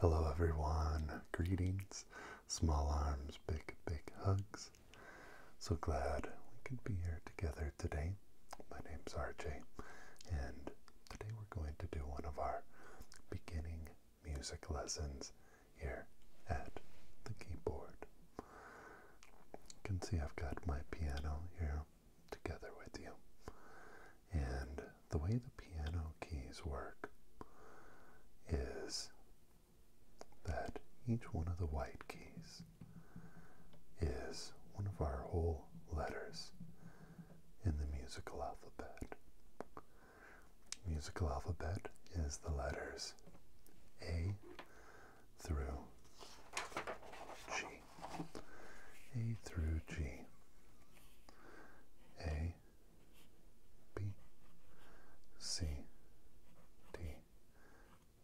Hello, everyone. Greetings, small arms, big, big hugs. So glad we could be here together today. My name's RJ, and today we're going to do one of our beginning music lessons here at the keyboard. You can see I've got my piano here together with you. And the way the piano keys work is that each one of the white keys is one of our whole letters in the musical alphabet. musical alphabet is the letters A through G. A through G. A, B, C, D,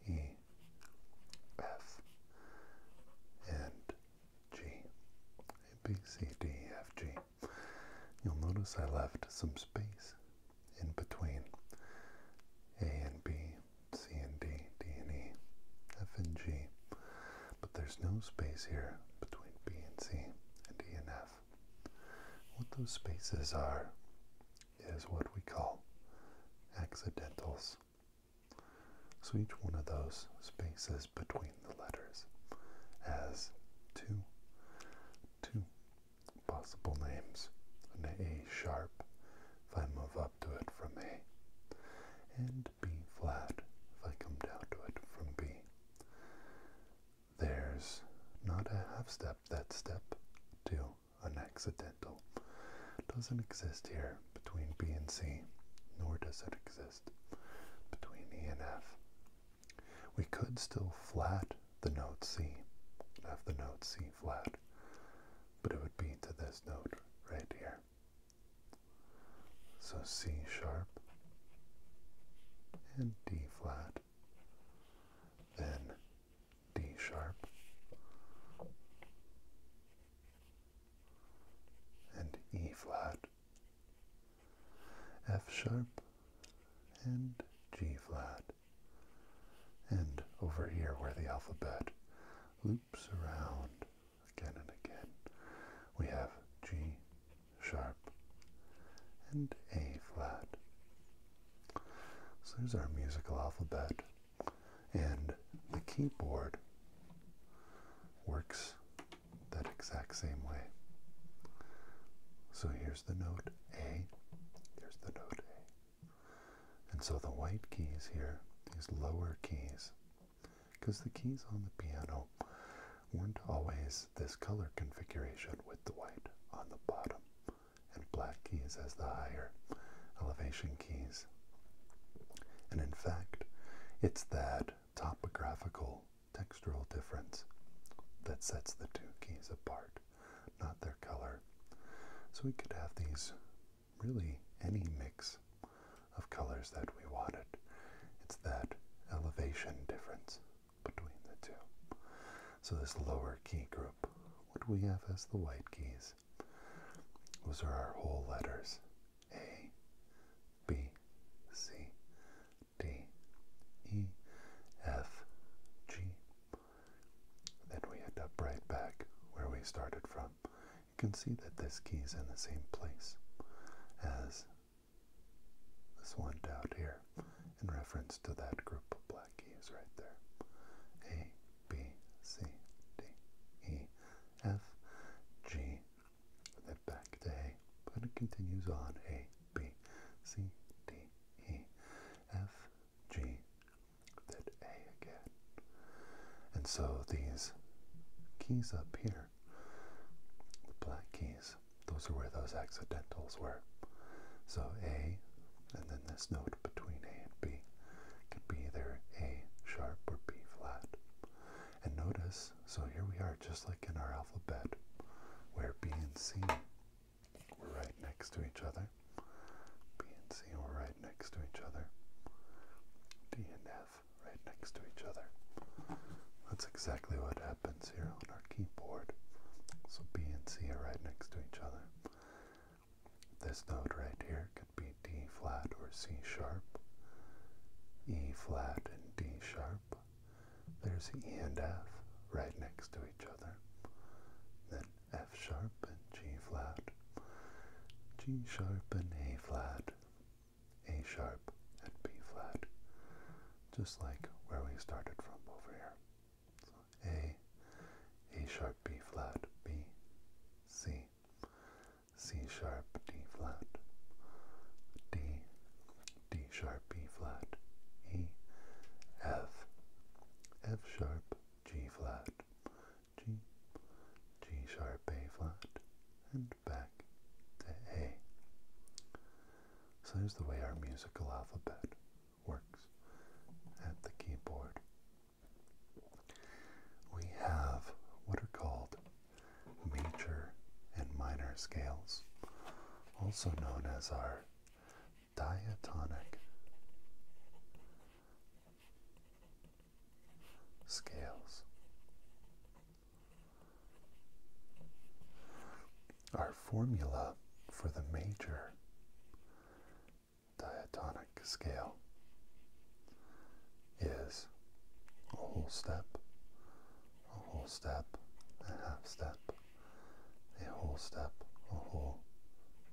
E, F, and G. A, B, C, D, E, F, G. You'll notice I left some space in between A and B C and D, D and E, F and G, but there's no space here between B and C and D and F. What those spaces are is what we call accidentals. So each one of those spaces between the letters has two, two possible names, an A sharp if I move up to it from A, and B flat if I come down to it from B. There's not a half step, that step to an accidental doesn't exist here between B and C, nor does it exist between E and F. We could still flat the note C, have the note C flat, but it would be to this note right here. So C sharp and D flat, then D sharp and E flat, F sharp and G flat. And over here where the alphabet loops around again and again. We have G sharp and A flat. So there's our musical alphabet. And the keyboard works that exact same way. So here's the note A, here's the note A. And so the white keys here, these lower keys, because the keys on the piano weren't always this color configuration with the white on the bottom and black keys as the higher elevation keys. And in fact, it's that topographical textural difference that sets the two keys apart, not their color. So we could have these really any mix of colors that we wanted. It's that elevation difference between the two. So this lower key group, what we have as the white keys, those are our whole letters. A, B, C, D, E, F, G. Then we end up right back where we started from you can see that this key is in the same place as this one down here in reference to that group of black keys right there. A, B, C, D, E, F, G, and then back to A, but it continues on A, B, C, D, E, F, G, that A again. And so these keys up here, the black keys, those are where those accidentals were. So A, and then this note between A and B, can be either A sharp or B flat. And notice, so here we are, just like in our alphabet, where B and C were right next to each other. B and C were right next to each other. D and F right next to each other. That's exactly what happens here on our keyboard. So B and C are right next to each other. This note right here could be D flat or C sharp. E flat and D sharp. There's E and F right next to each other. Then F sharp and G flat, G sharp and A flat, A sharp and B flat, just like where we started from over here. So A, A sharp, B flat, B, C, C sharp, D flat, D, D sharp, B flat, E, F, F sharp, G flat, G, G sharp A flat, and back to A. So that's the way our musical alphabet works at the keyboard. We have what are called major and minor scales, also known as our diatonic scales. Our formula for the major diatonic scale is a whole step, a whole step, a half step, a whole step, a whole,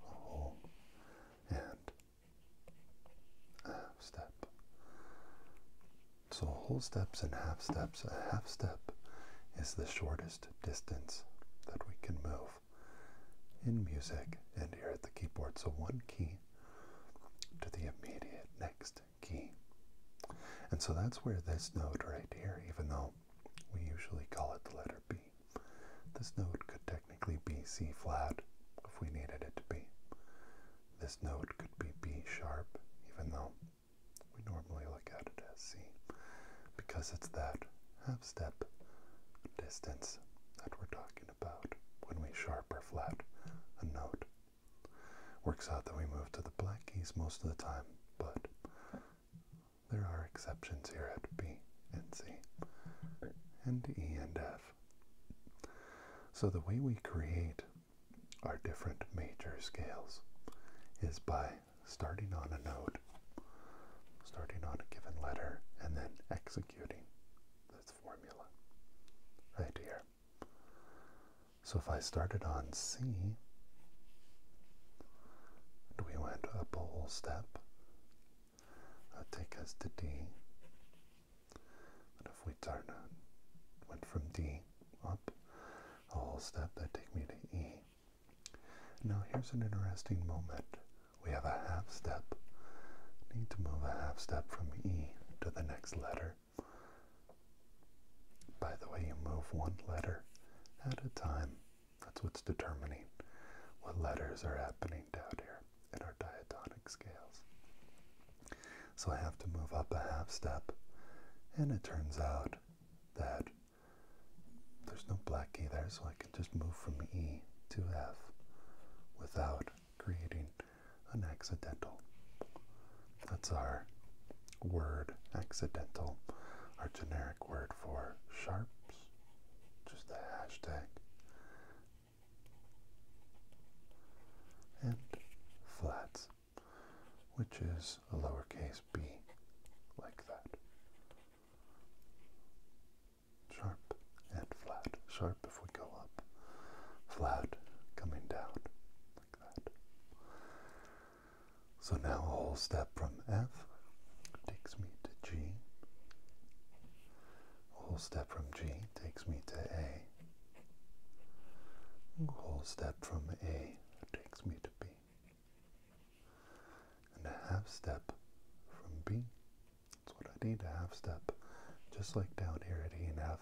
a whole, and half step. So whole steps and half steps, a half step is the shortest distance that we can move in music and here at the keyboard. So one key to the immediate next key. And so that's where this note right here, even though we usually call it the letter B, this note could technically technically be flat if we needed it to be. This note could be B sharp, even though we normally look at it as C, because it's that half step distance that we're talking about when we sharp or flat a note. Works out that we move to the black keys most of the time, but there are exceptions here at B and C and E and F. So the way we create our different major scales is by starting on a note, starting on a given letter, and then executing this formula right here. So if I started on C, and we went up a whole step, that take us to D. But if we turn it, uh, went from D up a whole step, that take me to E. Now here's an interesting moment. We have a half step. Need to move a half step from E to the next letter. By the way, you move one letter at a time. That's what's determining what letters are happening down here in our diatonic scales. So I have to move up a half step, and it turns out that there's no black E there, so I can just move from E to F without creating an accidental. That's our word accidental, our generic word for sharps, just the hashtag and flats, which is a lowercase b, like that. Sharp and flat. Sharp if we go up, flat coming down, like that. So now a whole step from F takes me to G whole step from G takes me to A. Whole step from A takes me to B. And a half step from B. That's what I need, a half step. Just like down here at E and F.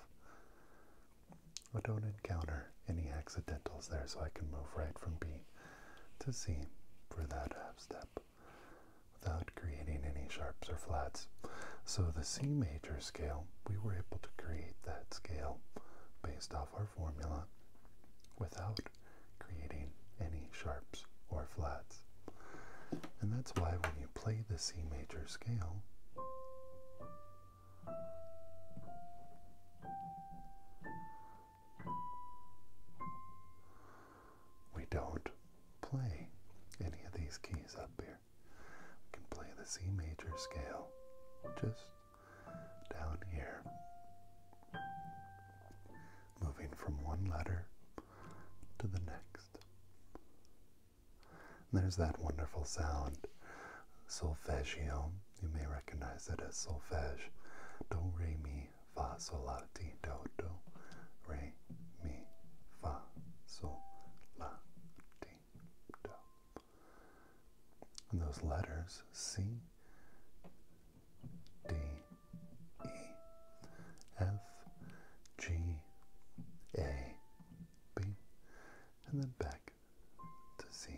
I don't encounter any accidentals there, so I can move right from B to C for that half step without creating any sharps or flats. So the C major scale, we were able to create that scale based off our formula without creating any sharps or flats. And that's why when you play the C major scale, we don't play any of these keys up here. We can play the C major scale just down here. Moving from one letter to the next. there's that wonderful sound, solfeggio. You may recognize it as solfege. Do, re, mi, mi, fa, sol, la, ti, do, do, re, mi, fa, sol, la, ti, do. And those letters C, D, E, F, G, A, B, and then back to C.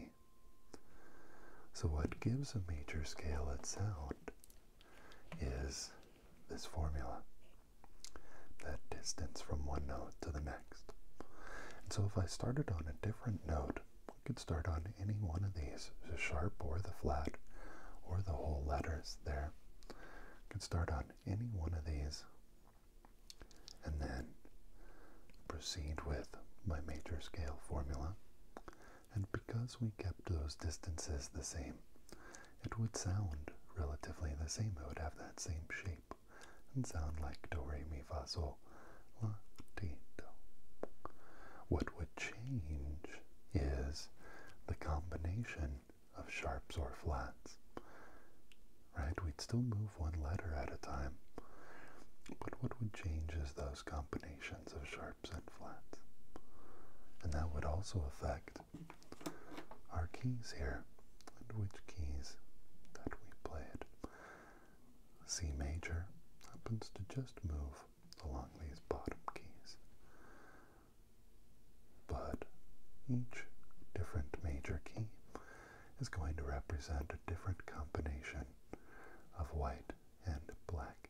So, what gives a major scale its sound is this formula, that distance from one note to the next. so if I started on a different note, I could start on any one of these, the sharp or the flat, or the whole letters there. I could start on any one of these, and then proceed with my major scale formula. And because we kept those distances the same, it would sound relatively the same. It would have that same shape and sound like do, re, mi, fa, sol, la, ti, do. What would change is the combination of sharps or flats. Right? We'd still move one letter at a time. But what would change is those combinations of sharps and flats. And that would also affect our keys here and which keys that we played. C major happens to just move along these bottom keys. But each different major key is going to represent a different combination of white and black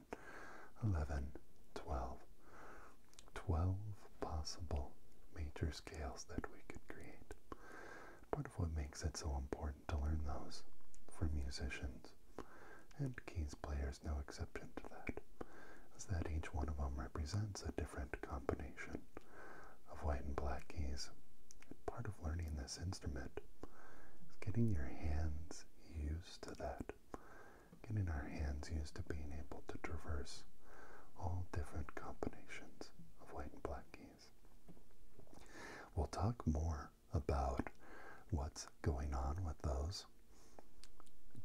10, 11, 12. 12 possible major scales that we could create. Part of what makes it so important to learn those for musicians, and keys players no exception to that, is that each one of them represents a different combination of white and black keys. Part of learning this instrument is getting your hands used to that getting our hands used to being able to traverse all different combinations of white and black keys. We'll talk more about what's going on with those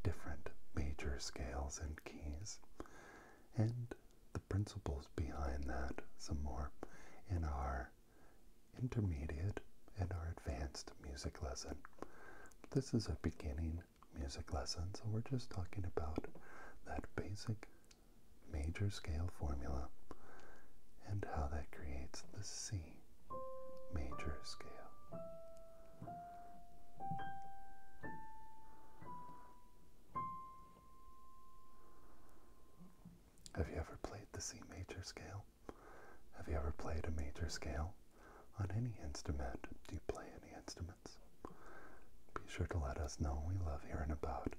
different major scales and keys and the principles behind that some more in our intermediate and our advanced music lesson this is a beginning music lesson, so we're just talking about that basic major scale formula and how that creates the C major scale. Have you ever played the C major scale? Have you ever played a major scale on any instrument? Do you play any instruments? Be sure to let us know. We love hearing about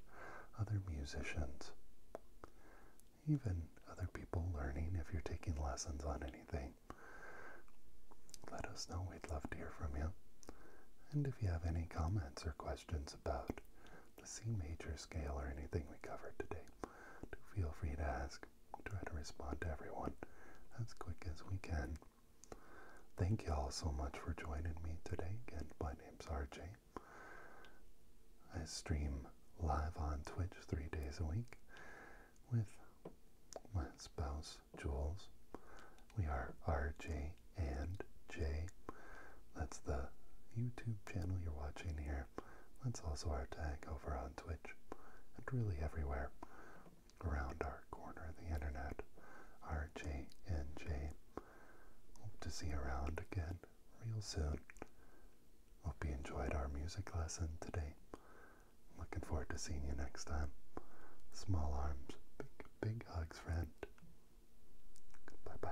other musicians, even other people learning. If you're taking lessons on anything, let us know. We'd love to hear from you. And if you have any comments or questions about the C major scale or anything we covered today, do feel free to ask try to respond to everyone as quick as we can. Thank you all so much for joining me today. Again, my name's RJ. I stream live on Twitch three days a week with my spouse, Jules. We are RJ and J. That's the YouTube channel you're watching here. That's also our tag over on Twitch and really everywhere around our corner of the internet. RJNJ. Hope to see you around again real soon. Hope you enjoyed our music lesson today. Looking forward to seeing you next time. Small arms, big, big hugs, friend. Bye bye.